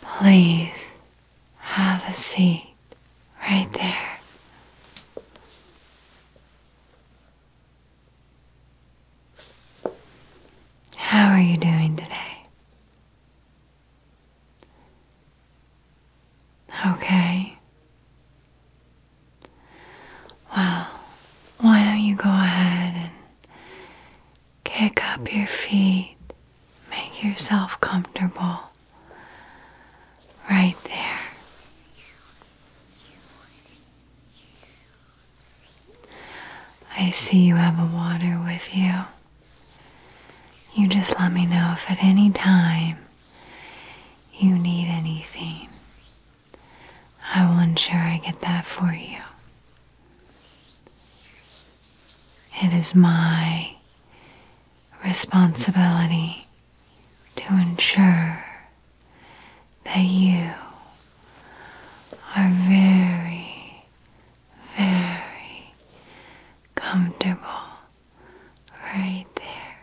Please have a seat right there. How are you doing today? Okay. Well, why don't you go ahead and Kick up your feet, make yourself comfortable right there. I see you have a water with you. You just let me know if at any time you need anything. I will ensure I get that for you. It is my responsibility to ensure that you are very, very comfortable right there.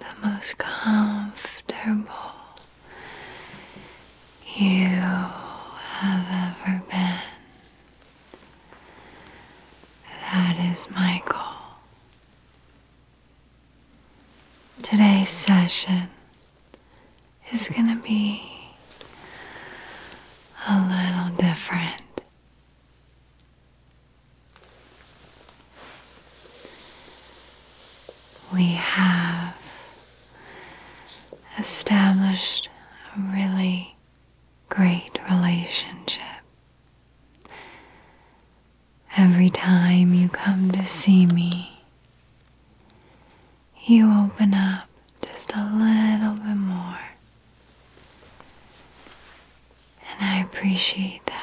The most comfortable you have ever been. That is my goal. Today's session is going to be a little different. We have established a really great relationship. Every time you come to see me, you open up just a little bit more. And I appreciate that.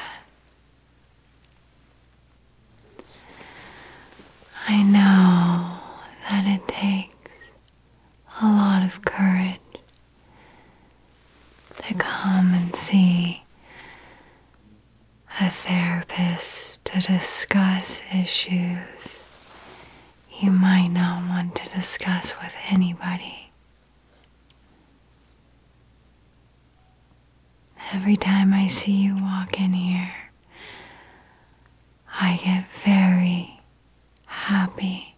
I know that it takes a lot of courage to come and see a therapist to discuss issues you might not want to discuss with anybody. Every time I see you walk in here, I get very happy.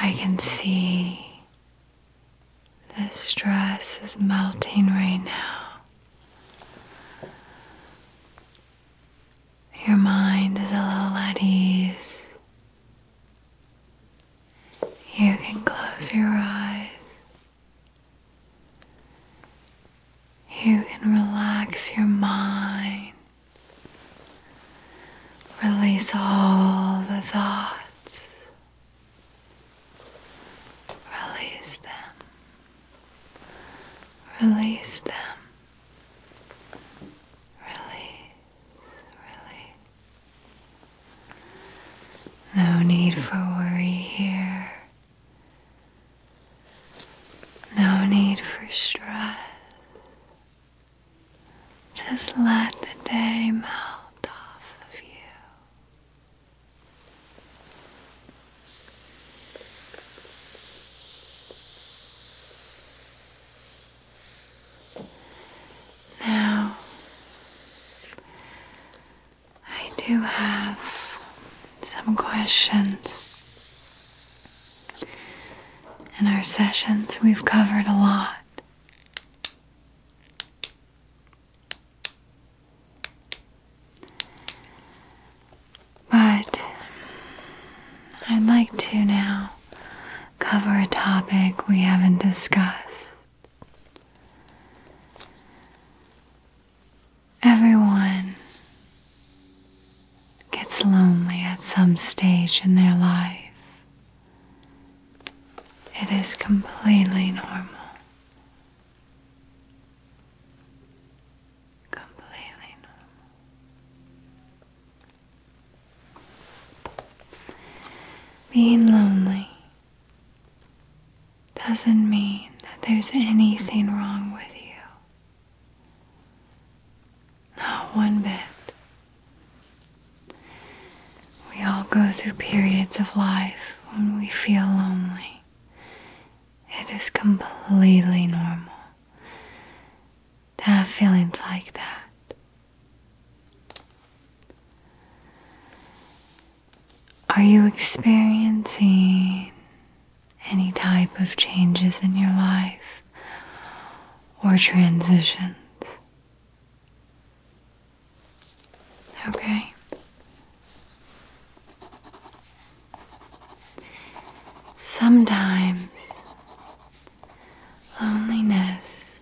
I can see the stress is melting right now. Your mind is a little at ease. You can close your eyes you can relax your mind, release all the thoughts, release them, release them. Release, release. No need for worry here. No need for stress. Just let the day melt off of you. Now, I do have some questions. In our sessions, we've covered a lot. But I'd like to now cover a topic we haven't discussed Everyone gets lonely at some stage in their life. It is completely normal. Completely normal. Being lonely doesn't mean that there's anything wrong with you. Not one bit. We all go through periods of life when we feel lonely. It is completely normal to have feelings like that. Are you experiencing any type of changes in your life or transitions? Okay. Sometimes loneliness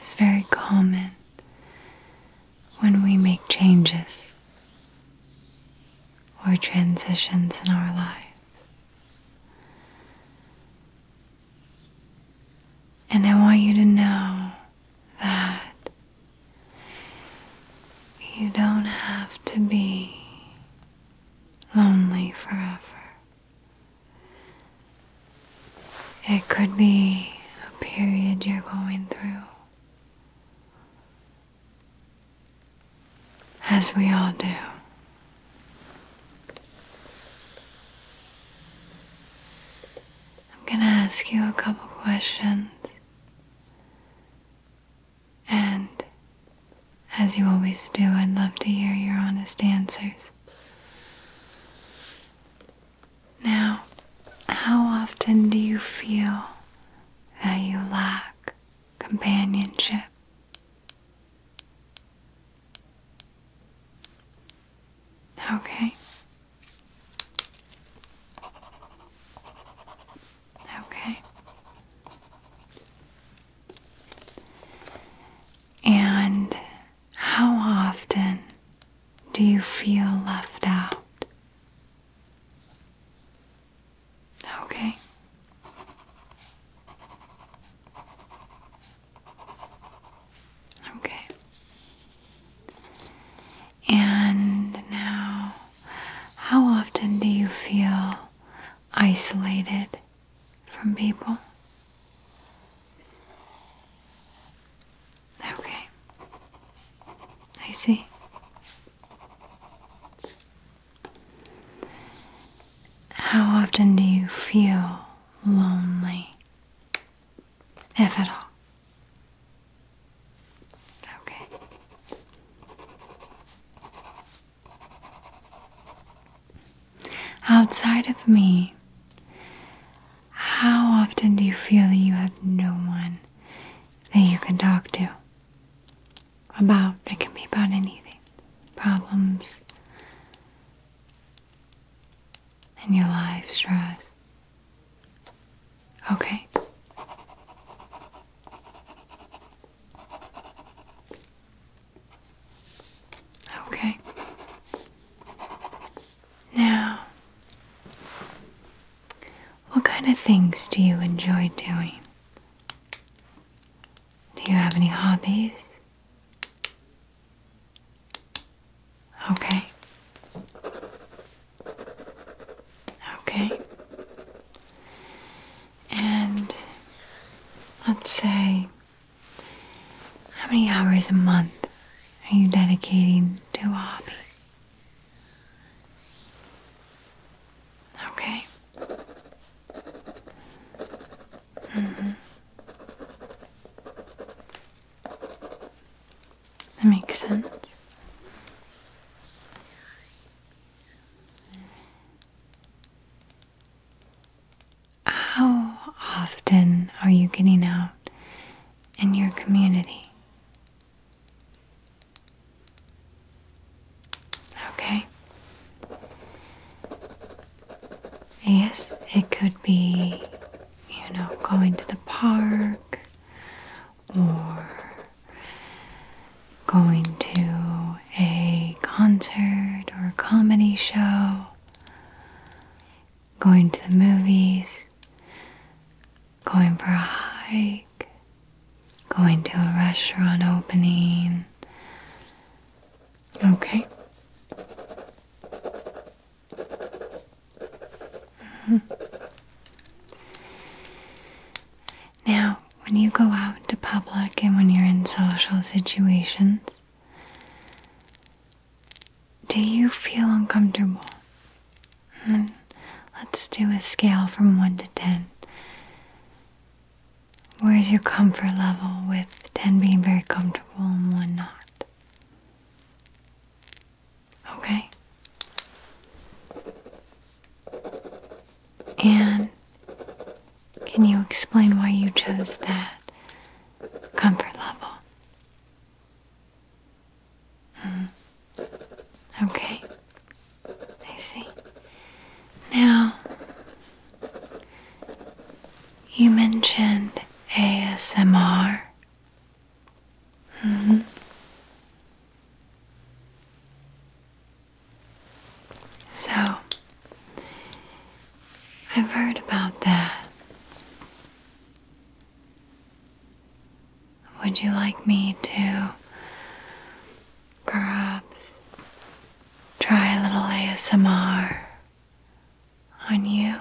is very common when we make changes or transitions in our lives. And I want you to know that you don't have to be lonely forever. It could be a period you're going through as we all do. I'm going to ask you a couple questions, and as you always do, I'd love to hear your honest answers. Now, how often do you feel that you lack companionship? Okay. Okay. And how often do you feel left out Okay. Okay. And now, how often do you feel isolated from people? Okay. I see. How often do you feel lonely? If at all. Okay. Outside of me, how often do you feel that you have no one that you can talk to? About, it can be about anything, problems in your life, stress. Okay. Okay. Now, what kind of things do you enjoy doing? Do you have any hobbies? Okay. Okay. And let's say, how many hours a month are you dedicating to a hobby? Okay. hmm That makes sense. How often are you getting out in your community? Okay. Yes, it could be, you know, going to the park or going to a concert or a comedy show going to the movies, going for a hike, going to a restaurant opening. Okay. Mm-hmm. Now, when you go out to public and when you're in social situations, do you feel uncomfortable? Hmm, let's do a scale from 1 to 10. Where's your comfort level with 10 being very comfortable and 1 not? Okay. And can you explain why you chose that comfort level? Hmm. Okay. I see. Now, you mentioned ASMR. hmm. So, I've heard about that. Would you like me to perhaps try a little ASMR on you?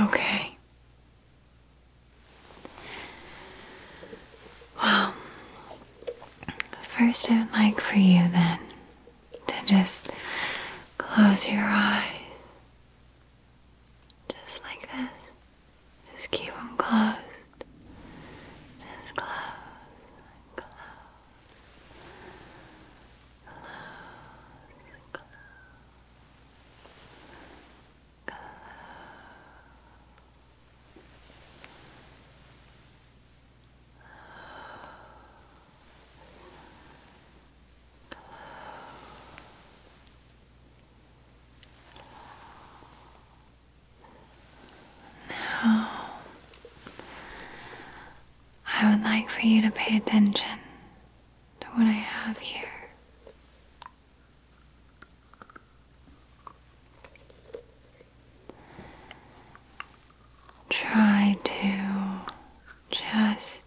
Okay. Well, first I would like for you then to just close your eyes. Just like this. Just keep them closed. Just close close. Close close. Close. Now, I would like for you to pay attention to what I have here try to just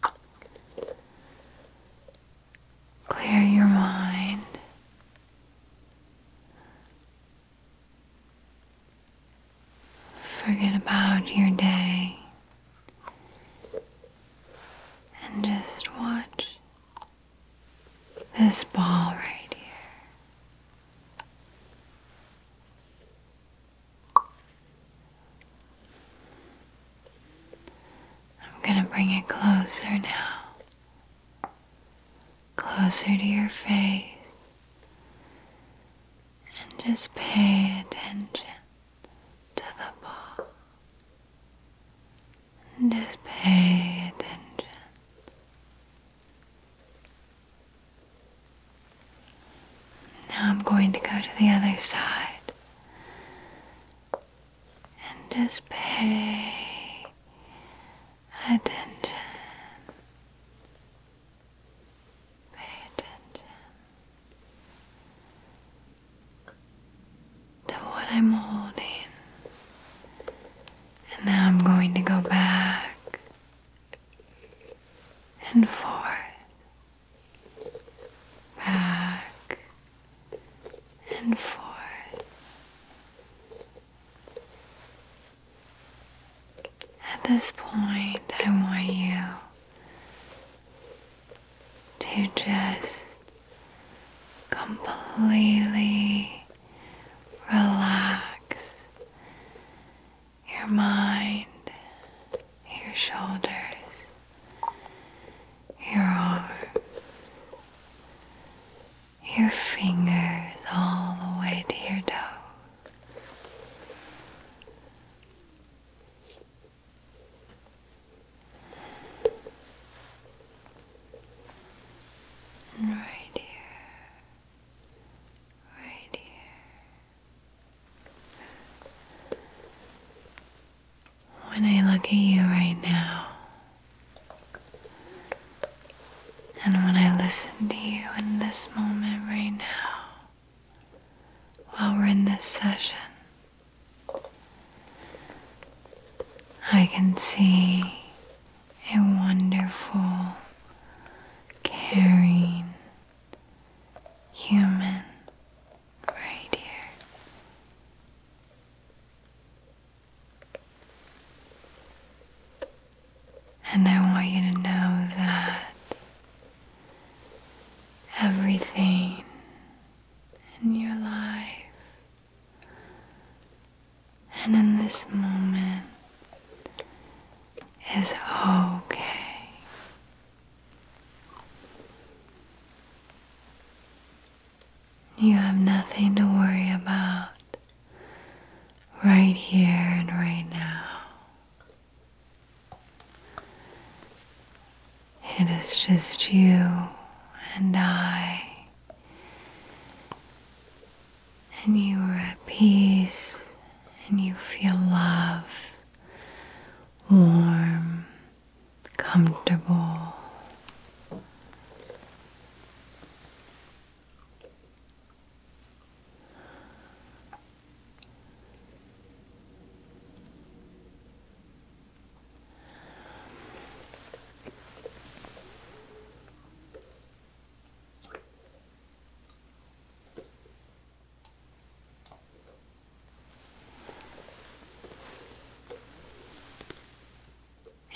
clear your mind. Forget about your day and just watch this ball right here. I'm going to bring it closer now, closer to your face, and just pay attention to the ball. And just pay attention now I'm going to go to the other side and just pay attention. Pay attention to what I'm holding. And now I'm going to go back and forth, back and forth. At this point, I want you to just completely relax your mind, your shoulders, your arms, your fingers all the way to your toes. right here, right here. When I look at you right now, and when I listen to you in this moment right now, while we're in this session, I can see a wonderful, caring, human right here. And I want you to know that everything in your life and in this moment is okay. You have nothing to worry about right here and right now. It is just you and I and you are at peace and you feel love, warm, comfortable.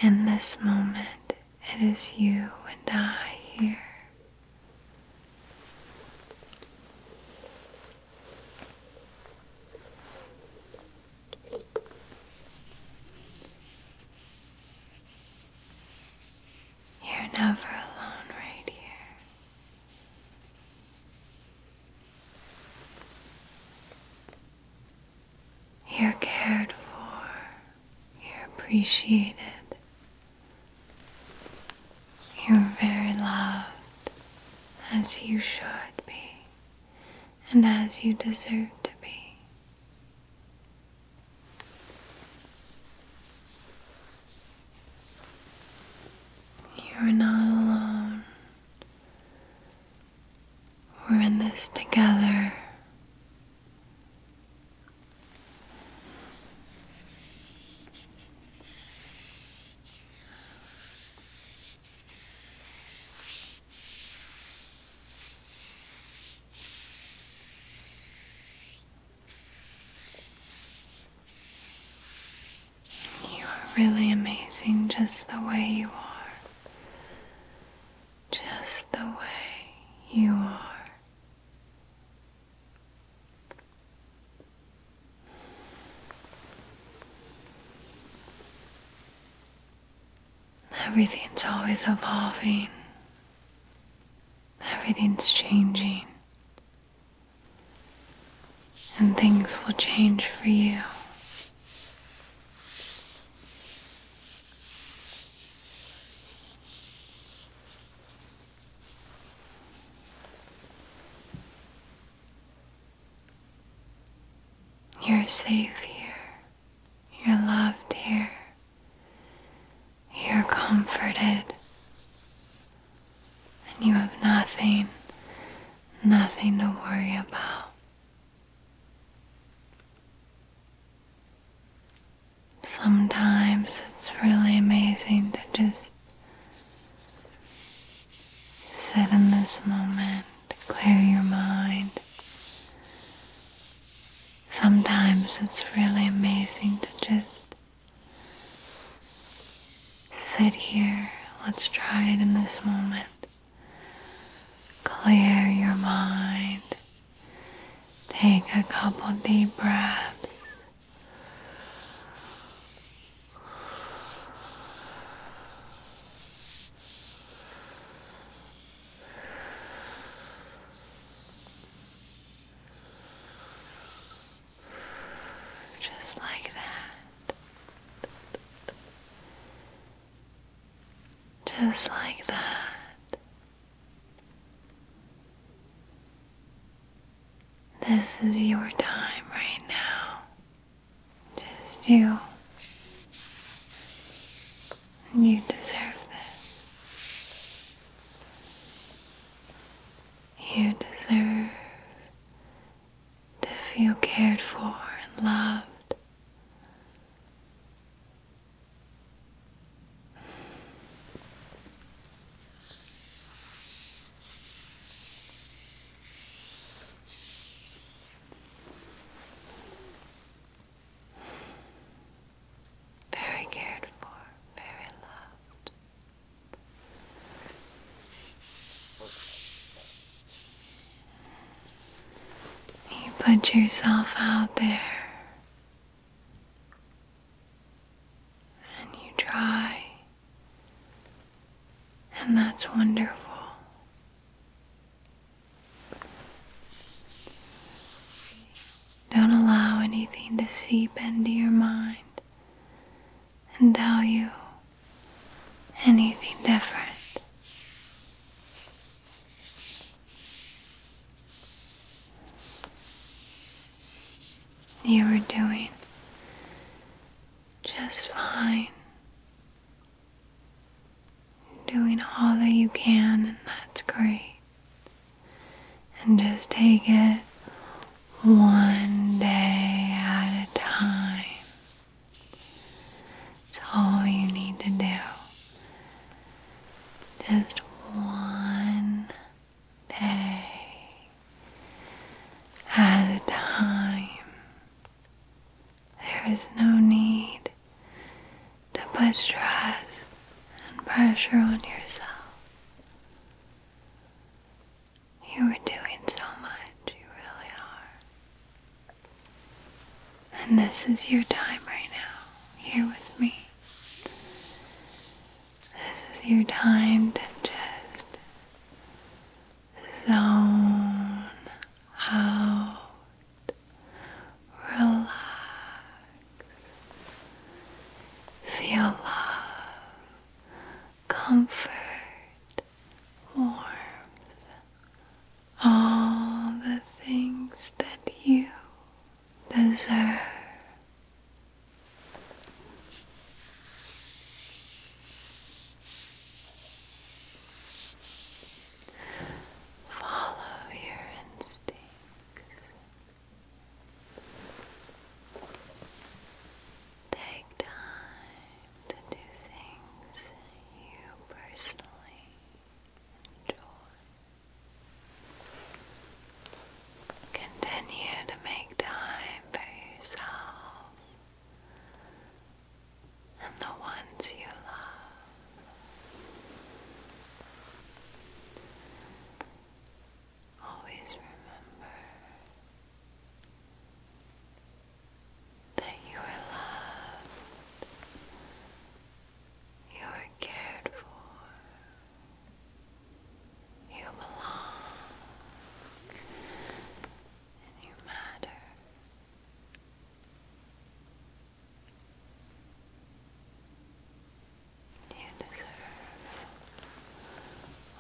In this moment, it is you and I here. You're never alone right here. You're cared for. You're appreciated. You're very loved, as you should be, and as you deserve to be. You're not alone. We're in this together. You are really amazing just the way you are. Just the way you are. Everything's always evolving. Everything's changing. And things will change for you. You're safe here. You're loved here. You're comforted. And you have nothing, nothing to worry about. Sometimes it's really amazing to just sit in this moment, clear your mind, Sometimes it's really amazing to just sit here. Let's try it in this moment. Clear your mind. Take a couple deep breaths. Just like that. Just like that. This is your time right now. Just you. You deserve this. You deserve to feel cared for and loved very cared for, very loved. You put yourself out there and you try, and that's wonderful. Don't allow anything to seep into your mind and tell you anything different. You were doing just fine. Doing all that you can, and that's great and just take it one day at a time. It's all you need to do. Just one day at a time. There is no need to put stress and pressure on yourself. You are doing so much, you really are. And this is your time right now, here with me. This is your time to just zone out relax. Feel love, comfort, warmth, all the things that you deserve. Follow your instincts. Take time to do things you personally enjoy. Continue to make time for yourself and the ones you love always remember that you are loved, you are cared for, you belong, and you matter. You deserve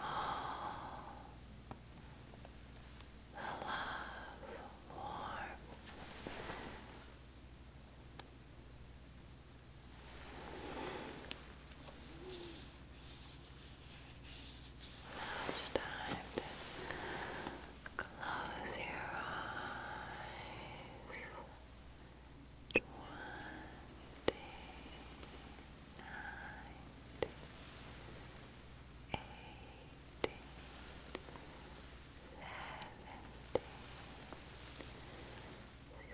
all the love, warmth, now time close your eyes twenty nine eighteen seventeen sixteen fifteen Fourteen,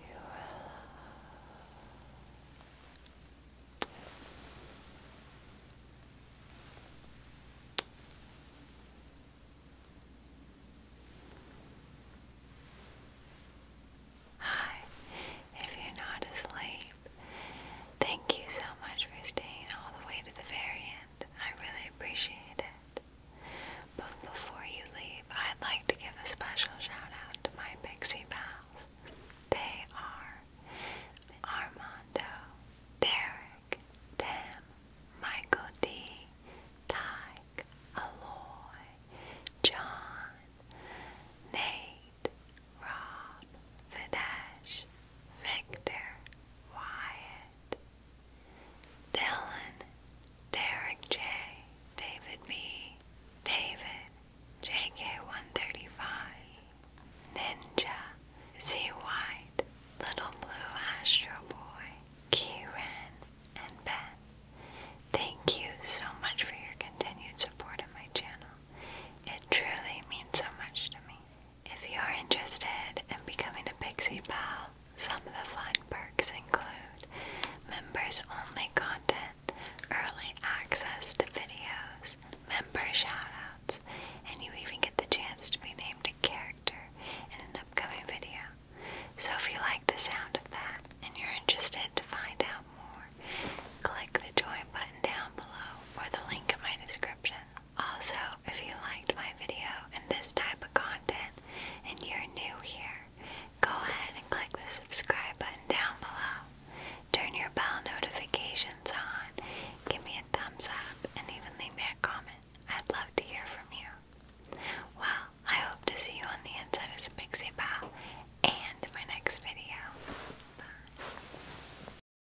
You are Hi, if you're not asleep Thank you so much for staying all the way to the very end. I really appreciate it. But before you leave, I'd like to give a special shout out to my pixie pals. They are Armando, Derek, Tim, Michael D, Tyke, Aloy, John, Nate, Rob, Videsh, Victor, Wyatt, Dylan, Derek J, David B, David, JK135, Ninja, Z Little Blue Astro Boy, Kieran, and Ben. Thank you so much for your continued support of my channel. It truly means so much to me. If you're interested in becoming a Pixie Pal, some of the fun perks include members only content, early access to videos, member shoutouts, and you even get the chance to be named a character in an upcoming video. So if you like the sound of that and you're interested to find out more, click the join button down below or the link in my description. Also, if you liked my video and this type of content and you're new here, go ahead and click the subscribe button down below. Turn your bell notifications on, give me a thumbs up, and even leave me a comment. I'd love to hear from you. Well, I hope to see you on the inside of Spixie Pal and my next video. Bye.